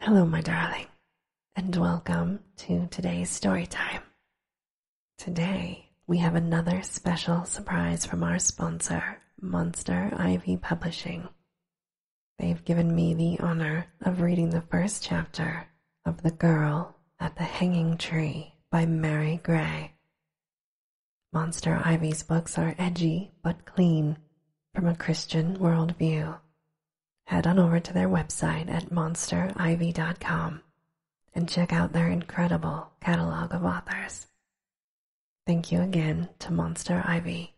Hello, my darling, and welcome to today's story time. Today, we have another special surprise from our sponsor, Monster Ivy Publishing. They've given me the honor of reading the first chapter of The Girl at the Hanging Tree by Mary Gray. Monster Ivy's books are edgy but clean, from a Christian worldview. Head on over to their website at monsterivy.com and check out their incredible catalog of authors. Thank you again to Monster Ivy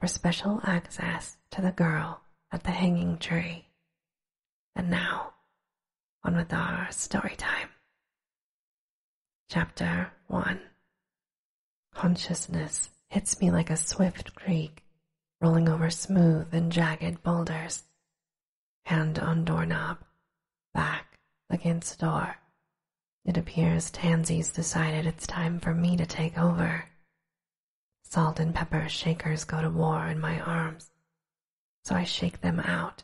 for special access to the girl at the hanging tree. And now, on with our story time. Chapter 1 Consciousness hits me like a swift creek, rolling over smooth and jagged boulders. Hand on doorknob, back against door. It appears Tansy's decided it's time for me to take over. Salt and pepper shakers go to war in my arms, so I shake them out,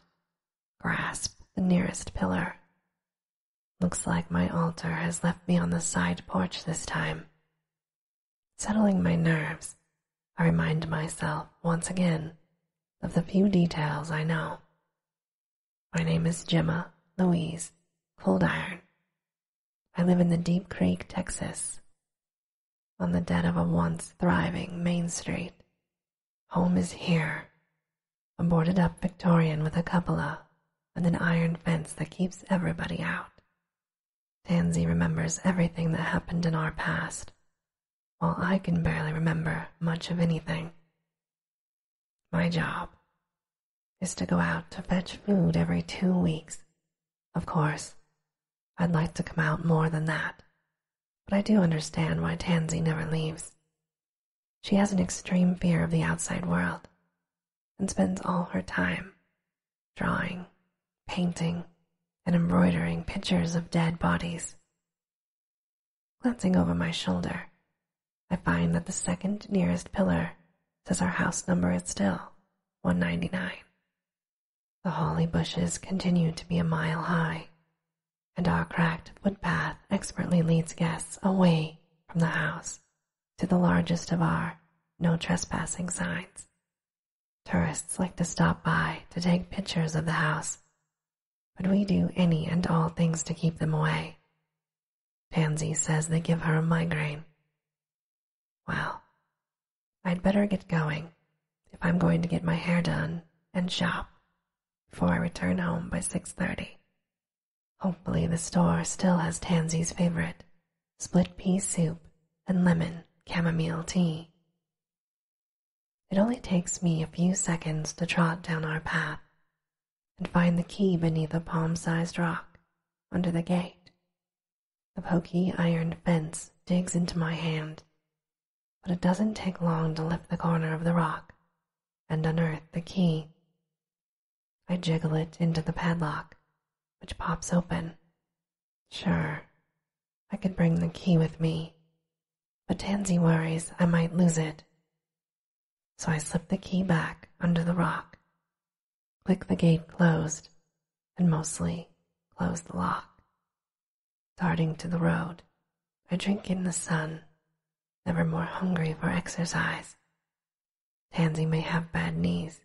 grasp the nearest pillar, Looks like my altar has left me on the side porch this time. Settling my nerves, I remind myself once again of the few details I know. My name is Gemma Louise Coldiron. I live in the Deep Creek, Texas, on the dead of a once thriving Main Street. Home is here, a boarded-up Victorian with a cupola and an iron fence that keeps everybody out. Tansy remembers everything that happened in our past, while I can barely remember much of anything. My job is to go out to fetch food every two weeks. Of course, I'd like to come out more than that, but I do understand why Tansy never leaves. She has an extreme fear of the outside world and spends all her time drawing, painting, and embroidering pictures of dead bodies. Glancing over my shoulder, I find that the second nearest pillar says our house number is still 199. The holly bushes continue to be a mile high, and our cracked footpath expertly leads guests away from the house to the largest of our no trespassing signs. Tourists like to stop by to take pictures of the house, but we do any and all things to keep them away. Pansy says they give her a migraine. Well, I'd better get going if I'm going to get my hair done and shop. Before I return home by 6.30. Hopefully the store still has Tansy's favorite, split pea soup and lemon chamomile tea. It only takes me a few seconds to trot down our path and find the key beneath a palm-sized rock under the gate. The pokey iron fence digs into my hand but it doesn't take long to lift the corner of the rock and unearth the key. I jiggle it into the padlock, which pops open. Sure, I could bring the key with me, but Tansy worries I might lose it. So I slip the key back under the rock, click the gate closed, and mostly close the lock. Starting to the road, I drink in the sun, never more hungry for exercise. Tansy may have bad knees,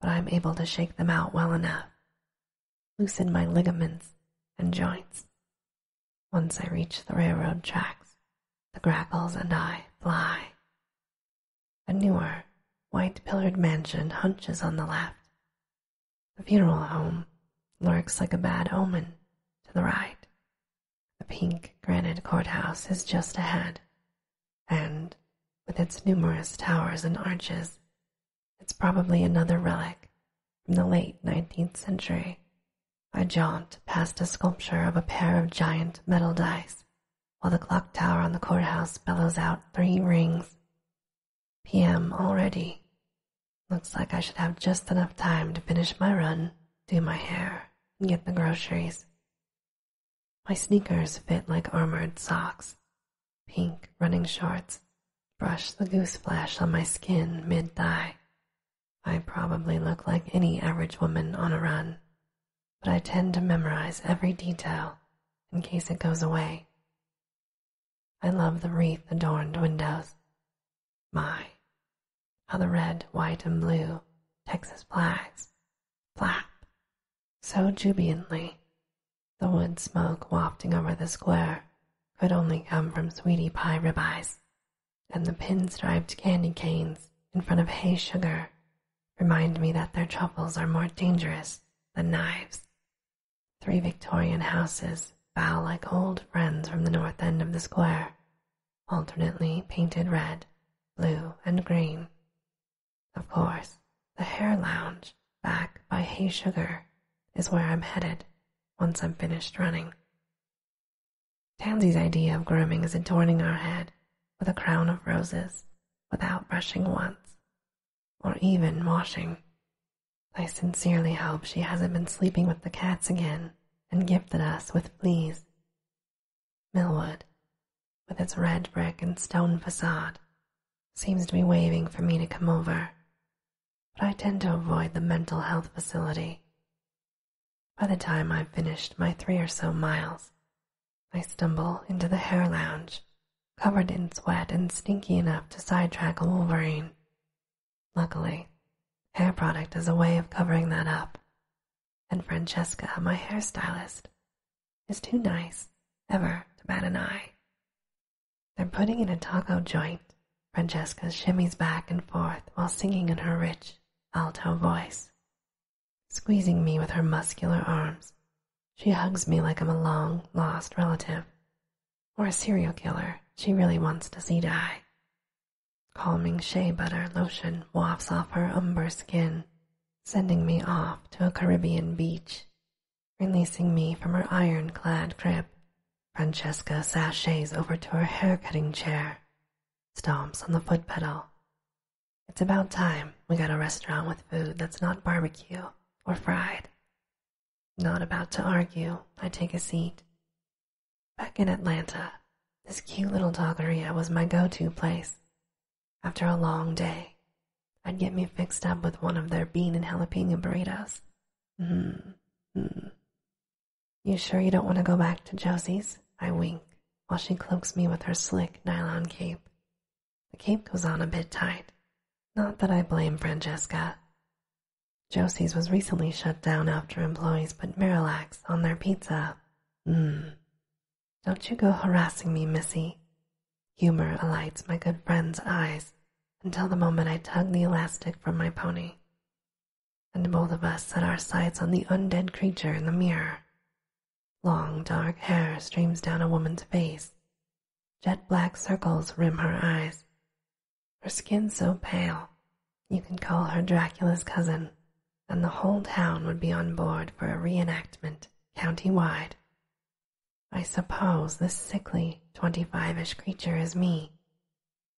but I am able to shake them out well enough, loosen my ligaments and joints. Once I reach the railroad tracks, the grackles and I fly. A newer, white pillared mansion hunches on the left, the funeral home lurks like a bad omen to the right. The pink granite courthouse is just ahead, and with its numerous towers and arches, it's probably another relic from the late 19th century. I jaunt past a sculpture of a pair of giant metal dice while the clock tower on the courthouse bellows out three rings p.m. already. Looks like I should have just enough time to finish my run, do my hair, and get the groceries. My sneakers fit like armored socks, pink running shorts, brush the goose flash on my skin mid thigh. I probably look like any average woman on a run, but I tend to memorize every detail in case it goes away. I love the wreath adorned windows. My, how the red, white, and blue Texas flags flap so jubilantly. The wood smoke wafting over the square could only come from sweetie pie ribbies, and the pinstriped candy canes in front of hay sugar remind me that their troubles are more dangerous than knives. Three Victorian houses bow like old friends from the north end of the square, alternately painted red, blue, and green. Of course, the hair lounge back by Hay Sugar is where I'm headed once I'm finished running. Tansy's idea of grooming is adorning our head with a crown of roses without brushing once or even washing. I sincerely hope she hasn't been sleeping with the cats again and gifted us with fleas. Millwood, with its red brick and stone facade, seems to be waving for me to come over, but I tend to avoid the mental health facility. By the time I've finished my three or so miles, I stumble into the hair lounge covered in sweat and stinky enough to sidetrack a wolverine. Luckily, hair product is a way of covering that up, and Francesca, my hairstylist, is too nice ever to bat an eye. They're putting in a taco joint. Francesca shimmies back and forth while singing in her rich, alto voice, squeezing me with her muscular arms she hugs me like I'm a long lost relative or a serial killer she really wants to see die. Calming shea butter lotion wafts off her umber skin, sending me off to a Caribbean beach, releasing me from her iron-clad grip. Francesca sashays over to her hair-cutting chair, stomps on the foot pedal. It's about time we got a restaurant with food that's not barbecue or fried. Not about to argue, I take a seat. Back in Atlanta, this cute little doggeria was my go-to place. After a long day, I'd get me fixed up with one of their bean and jalapeno burritos. Mm, You sure you don't want to go back to Josie's? I wink while she cloaks me with her slick nylon cape. The cape goes on a bit tight. Not that I blame Francesca. Josie's was recently shut down after employees put Miralax on their pizza. Mmm. Don't you go harassing me, Missy. Humor alights my good friend's eyes until the moment I tug the elastic from my pony. And both of us set our sights on the undead creature in the mirror. Long dark hair streams down a woman's face. Jet black circles rim her eyes. Her skin so pale, you can call her Dracula's cousin, and the whole town would be on board for a reenactment county-wide. I suppose this sickly, twenty-five-ish creature is me,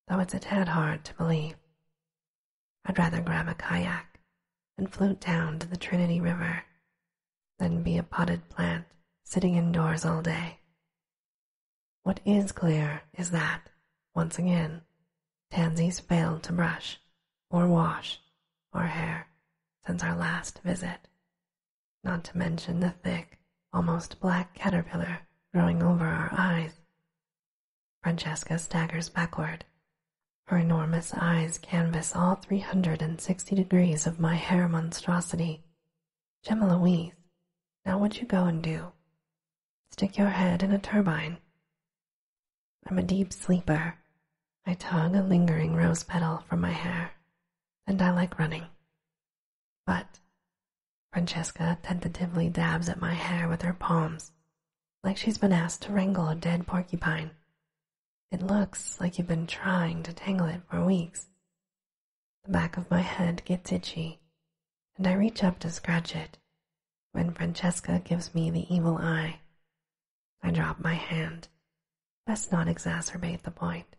though it's a tad hard to believe. I'd rather grab a kayak and float down to the Trinity River than be a potted plant sitting indoors all day. What is clear is that, once again, Tansy's failed to brush or wash or hair since our last visit, not to mention the thick, almost black caterpillar growing over our eyes. Francesca staggers backward, her enormous eyes canvas all three hundred and sixty degrees of my hair monstrosity. Gemma Louise, now what you go and do? Stick your head in a turbine. I'm a deep sleeper. I tug a lingering rose petal from my hair, and I like running. But Francesca tentatively dabs at my hair with her palms, like she's been asked to wrangle a dead porcupine. It looks like you've been trying to tangle it for weeks. The back of my head gets itchy, and I reach up to scratch it when Francesca gives me the evil eye. I drop my hand. Best not exacerbate the point.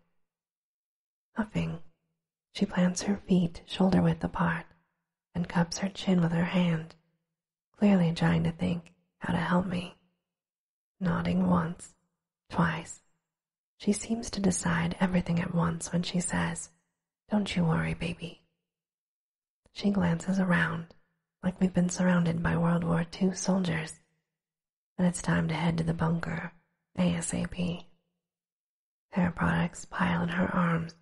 Huffing, she plants her feet shoulder width apart and cups her chin with her hand clearly trying to think how to help me. Nodding once, twice. She seems to decide everything at once when she says, Don't you worry, baby. She glances around, like we've been surrounded by World War II soldiers, and it's time to head to the bunker, ASAP. Hair products pile in her arms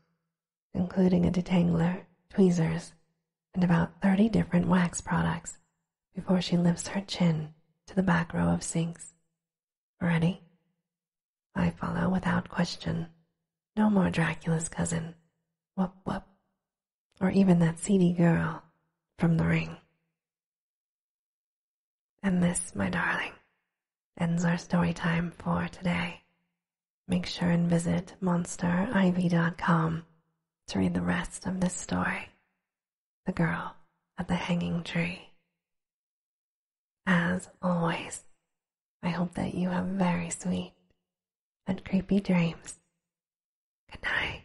including a detangler, tweezers, and about 30 different wax products before she lifts her chin to the back row of sinks. Ready? I follow without question. No more Dracula's cousin. Whoop whoop. Or even that seedy girl from the ring. And this, my darling, ends our story time for today. Make sure and visit monsterivy.com to read the rest of this story The Girl at the Hanging Tree. As always, I hope that you have very sweet and creepy dreams. Good night.